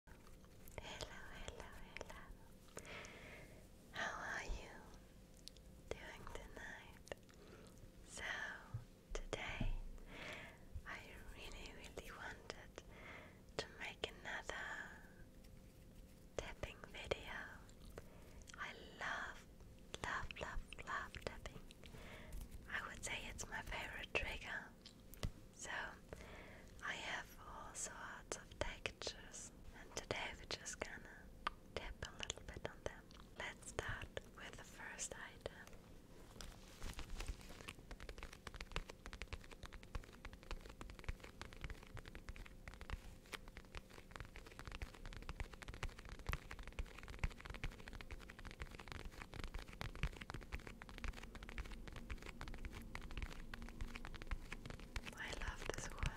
Hello, hello, hello. How are you doing tonight? So, today I really, really wanted to make another tapping video. I love, love, love, love tapping. I would say it's my favorite trigger. So I have all sorts of textures and today we're just gonna dip a little bit on them. Let's start with the first item. I love this one.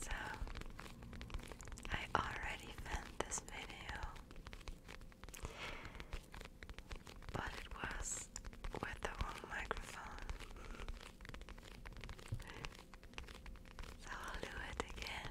So, I already filmed this video, but it was with the wrong microphone. So I'll do it again.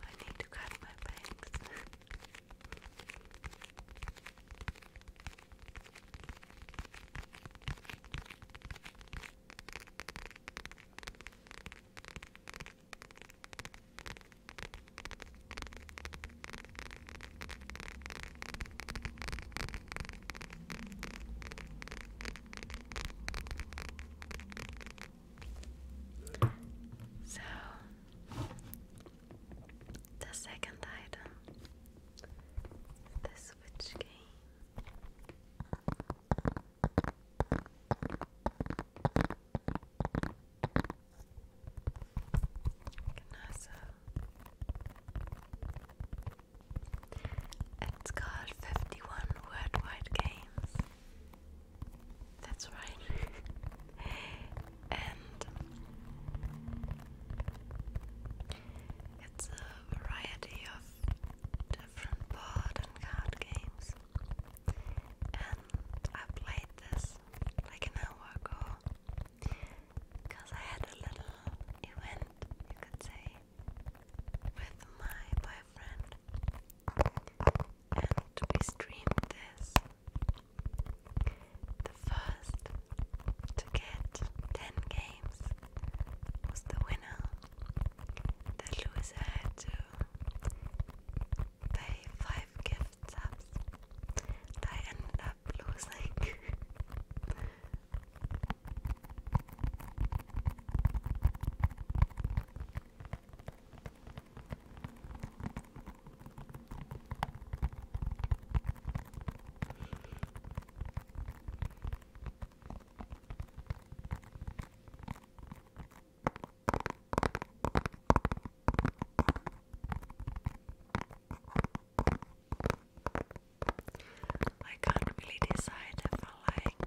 I need to cut my bangs. So, the second item the Switch game. Also, it's called 51 Worldwide Games. That's right. and it's a variety of different board and card games. And I played this like an hour ago because I had a little event, you could say, with my boyfriend and we streamed this the first to get 10 games was the winner the loser had to pay 5 gift subs I ended up losing I can't really decide if I like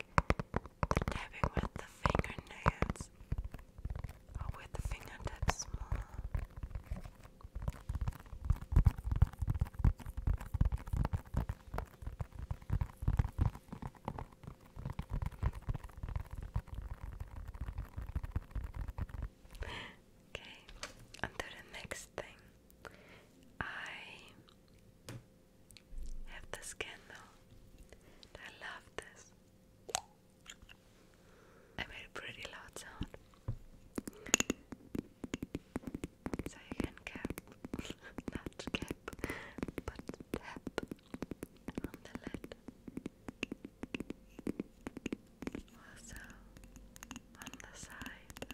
the tapping with the fingernails or oh, with the fingertips Okay, on the next thing. I I have this candle. I love this. I made pretty loud sound. So you can cap, not cap, but tap on the lid. Also on the side.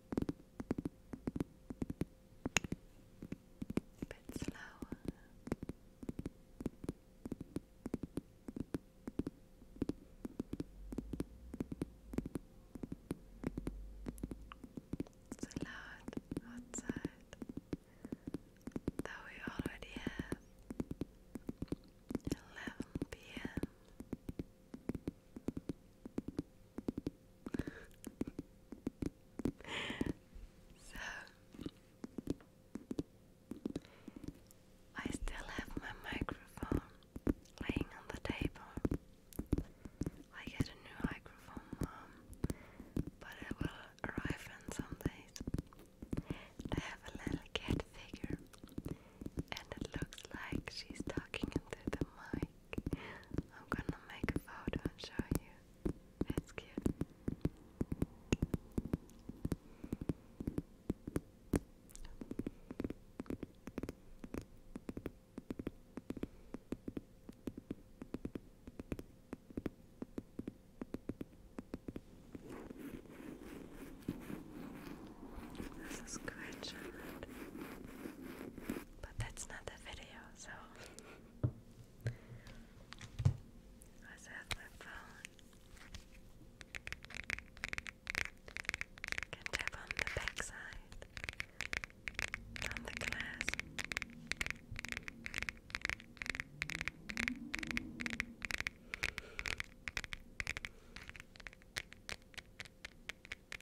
A bit slower. It's loud outside, though we already have 11 p.m so I still have my microphone laying on the table. I get a new microphone, mom, but it will arrive in some days. I have a little cat figure, and it looks like she's talking into the mic. I'm gonna make a photo and show you. It's cute. This is quite but that's not the video so I said my phone can tap on the back side the glass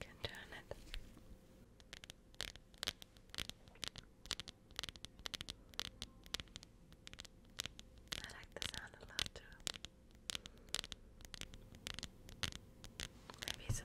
Can turn it. I like the sound a lot too. Maybe it's a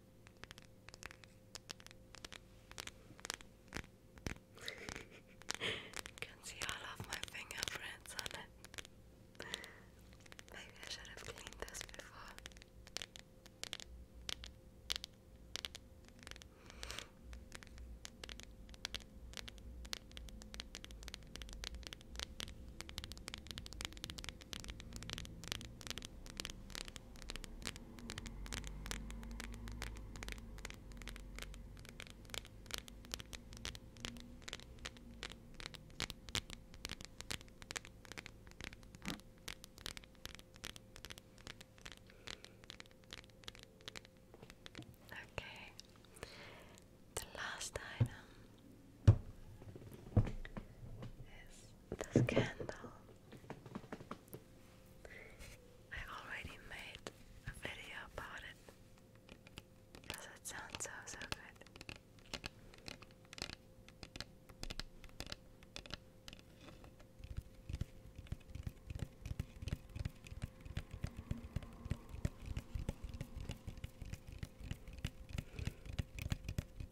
Can see all of my fingerprints on it. Maybe I should have cleaned this before. Okay, the last item is this candle. I already made a video about it because it sounds so so good.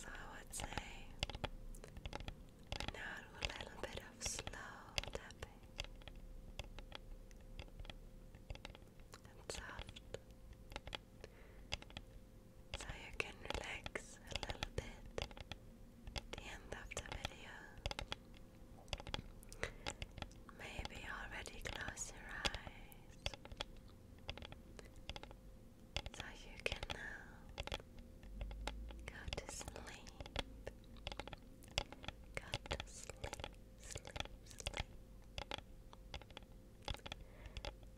So I would say now a little bit of slow tapping and soft. So you can relax a little bit the end of the video. Maybe already close your eyes. So you can now go to sleep. Got sleep, sleep, sleep.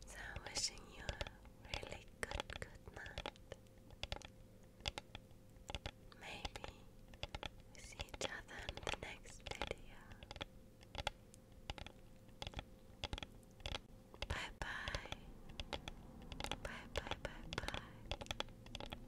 So, wishing you a really good, good night. Maybe see each other in the next video. Bye bye. Bye bye bye bye.